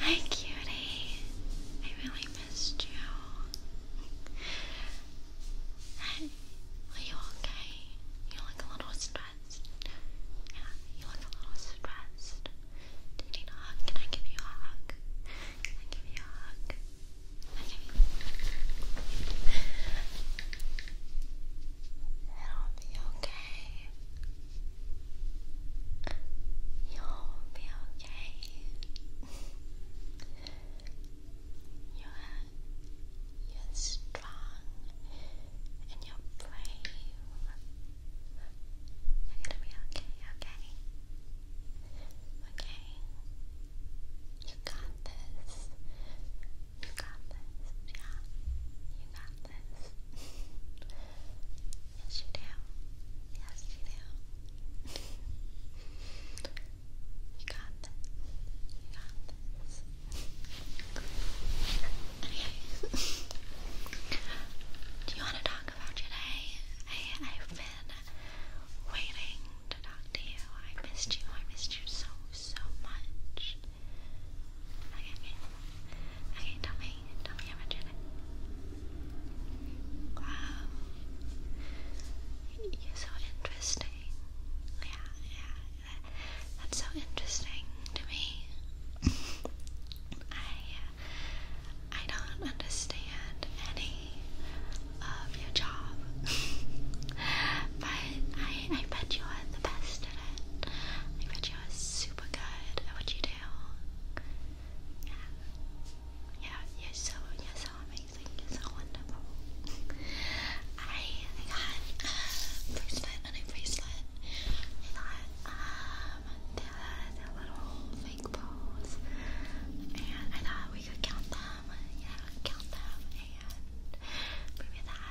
Hi, cutie. I really missed you. are you okay? You look a little stressed. Yeah, you look a little stressed. Do you need a hug? Can I give you a hug? Can I give you a hug? It'll be okay. You'll be okay. you're you're strong and you're brave. You're gonna be okay, okay? Okay. You got this. You got this, yeah. You got this. Yes, you do. Yes, you do. you got this. You got this. do you want to talk about today? I, I've been waiting to talk to you. I missed you. I missed you so, so much. Okay, okay. Okay, tell me, tell me how much is it. You're so interesting. Yeah, yeah. that's so interesting to me. I, I don't understand any of your job, but I, I bet you are the best at it. I bet you are super super good at what you do. Yeah. Yeah, you're so you're so amazing. You're so wonderful. I got a bracelet and a bracelet. I got um the, little fake balls. And I thought we could count them. Yeah, count them and maybe that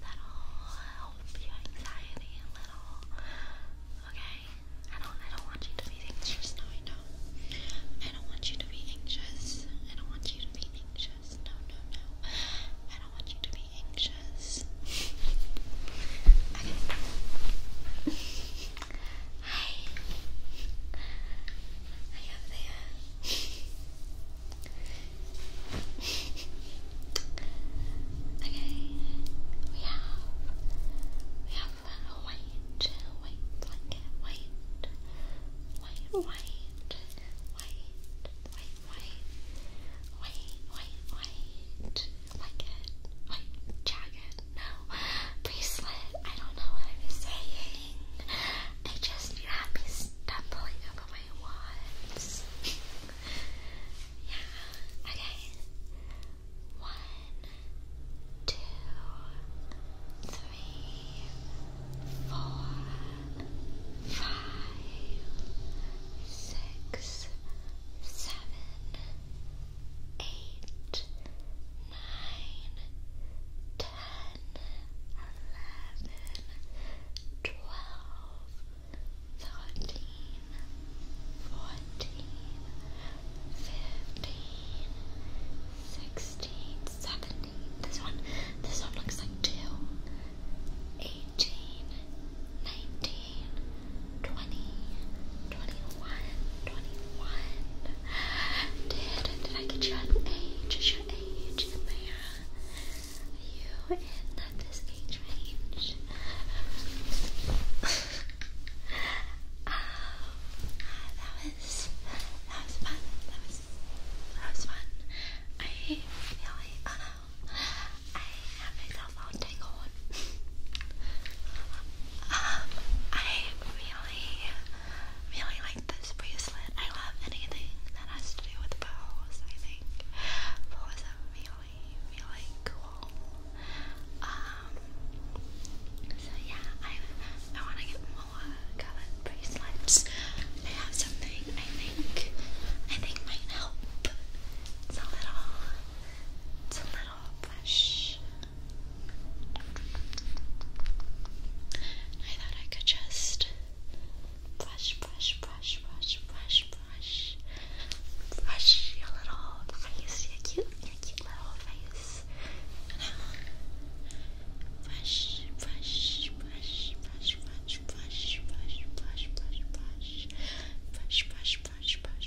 that will help your anxiety a little. Okay? I don't I don't want you to be anxious now, I I don't want you to be anxious. I don't want you to be anxious. No, no, no. I don't want you to be anxious. Hi. Hi up there okay, we have we have white, white blanket, white, white, white, white, white, white, white, white, white blanket, white jacket. No bracelet. I don't know what I'm saying. I just you stumbling over my words. Yeah. Okay. One, two, three, four, five, six, seven, eight, nine, ten, eleven, twelve thirteen, fourteen, fifteen, sixteen, seventeen. This one, this one looks like two. Eighteen, nineteen, twenty, twenty-one, twenty-one. Did did I get your age? Is your age in there? you in this age range. um, that was that was fun. That was that was fun. I feel like oh I have myself all tangled. um, I really, really like this bracelet. I love anything that has to do with bow course I think those are really, really cool. Um, so yeah, I, I want to get more colored bracelets. I have something I think, I think might help. It's a little, it's a little brush. I thought I could just brush, brush, brush, brush, brush, brush, brush your little face, your cute, your cute little face. Brush, brush, brush, brush, brush, brush, brush, brush, brush, brush, brush, brush, brush, brush, brush, brush, brush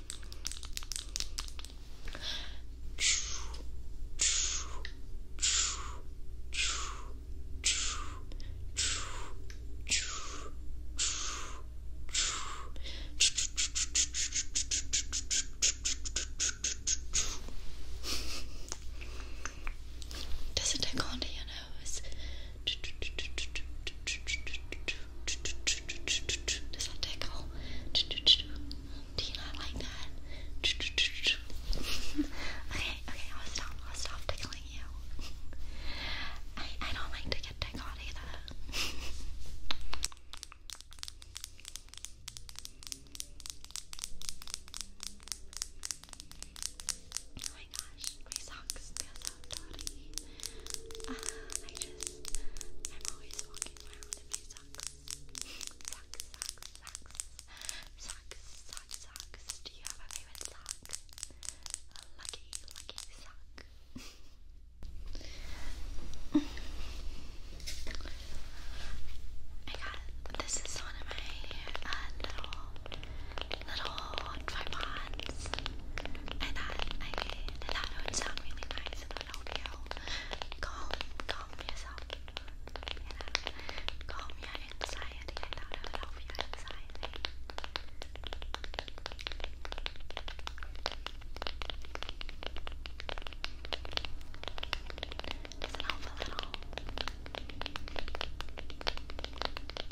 Does it take onto your nose? Does that tickle? Do you not like that? okay, okay, I'll stop. I'll stop tickling you. I I don't like to get tickled either. Oh my gosh, my socks feel so dirty. Uh, I just, I'm always walking around in my socks. Socks, socks, socks. Socks, socks, Do you have a favorite sock? lucky, lucky sock. I got, this is one of my uh, little, little and my bonds. I thought I, I would sound really nice and would help you calm calm yourself. calm your anxiety. I thought it would help your anxiety. a little?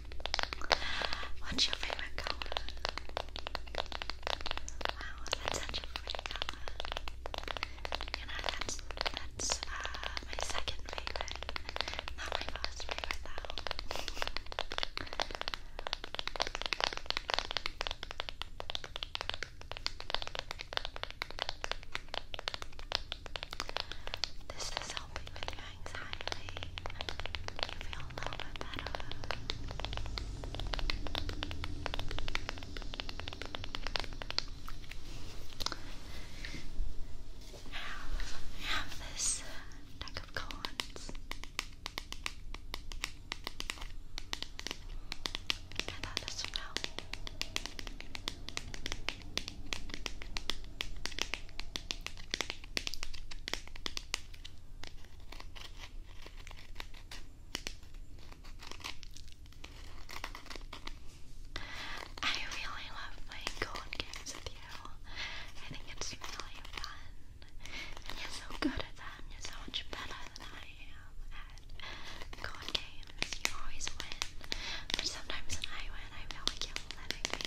What's your favorite color? that's such a color. You that's, that's uh, my second favorite. Not my first favorite, though. This is helping with anxiety. You feel a little better. I have this deck of cards. I thought this would help. I really love playing card games with you. I think it's really fun. you're so good at them. You're so much better than I am at card games. You always win. But sometimes I win, win. I really can't let it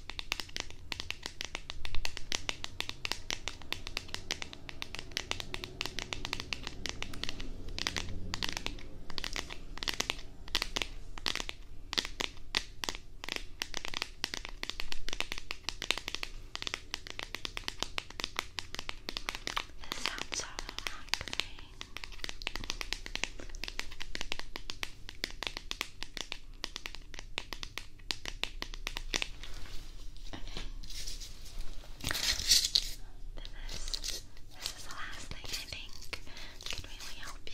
This sounds so relaxing. This is this is the last thing I think could really help you.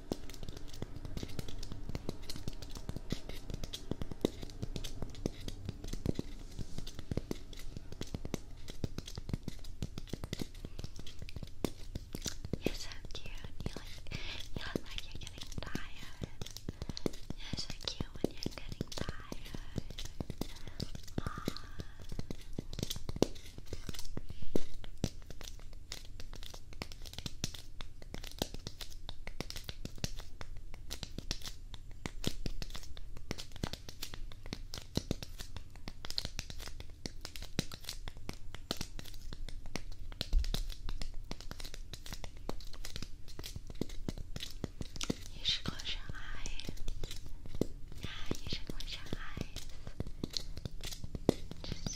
You're so cute. You look, you like you're getting tired. You're so cute when you're getting tired. You should close your eyes. Yeah, you should close your eyes. Just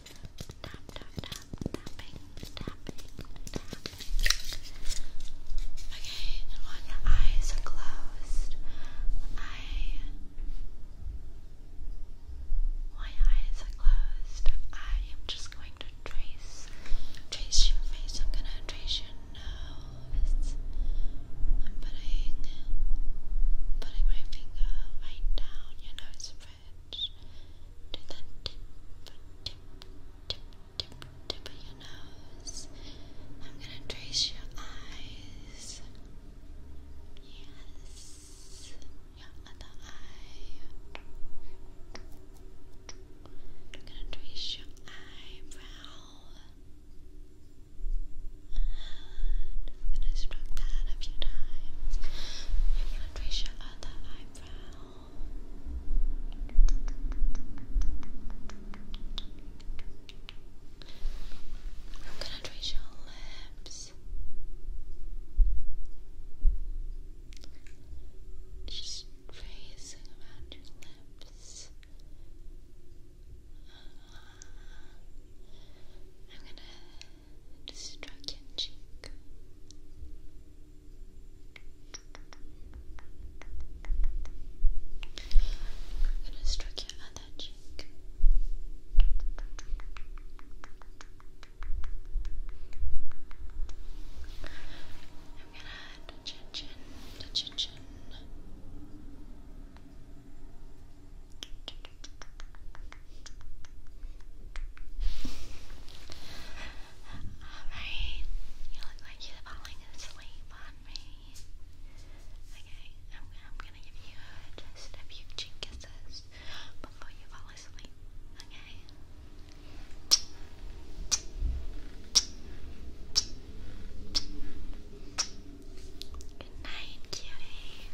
tap, tap, Okay, and while eyes closed, I while eyes are closed, I am just going to trace trace your face. I'm gonna trace your nose. I'm putting putting my finger right down your nose. Right fridge. Do tip, tip, tip, tip, tip of your nose. I'm gonna trace your eyes. Yes, your other eye. I'm gonna trace your eyebrow. And I'm gonna stroke that a few times. You're gonna trace your other eyebrow. I'm gonna trace your lips. Just tracing around your lips. Uh, I'm gonna just stroke your cheek. I'm gonna stroke your other cheek. I'm gonna touch your chin, touch your chin. Alright, you look like you're falling asleep on me. Okay, I'm, gonna give you a few cheek before you fall asleep. Okay? Good night, cutie.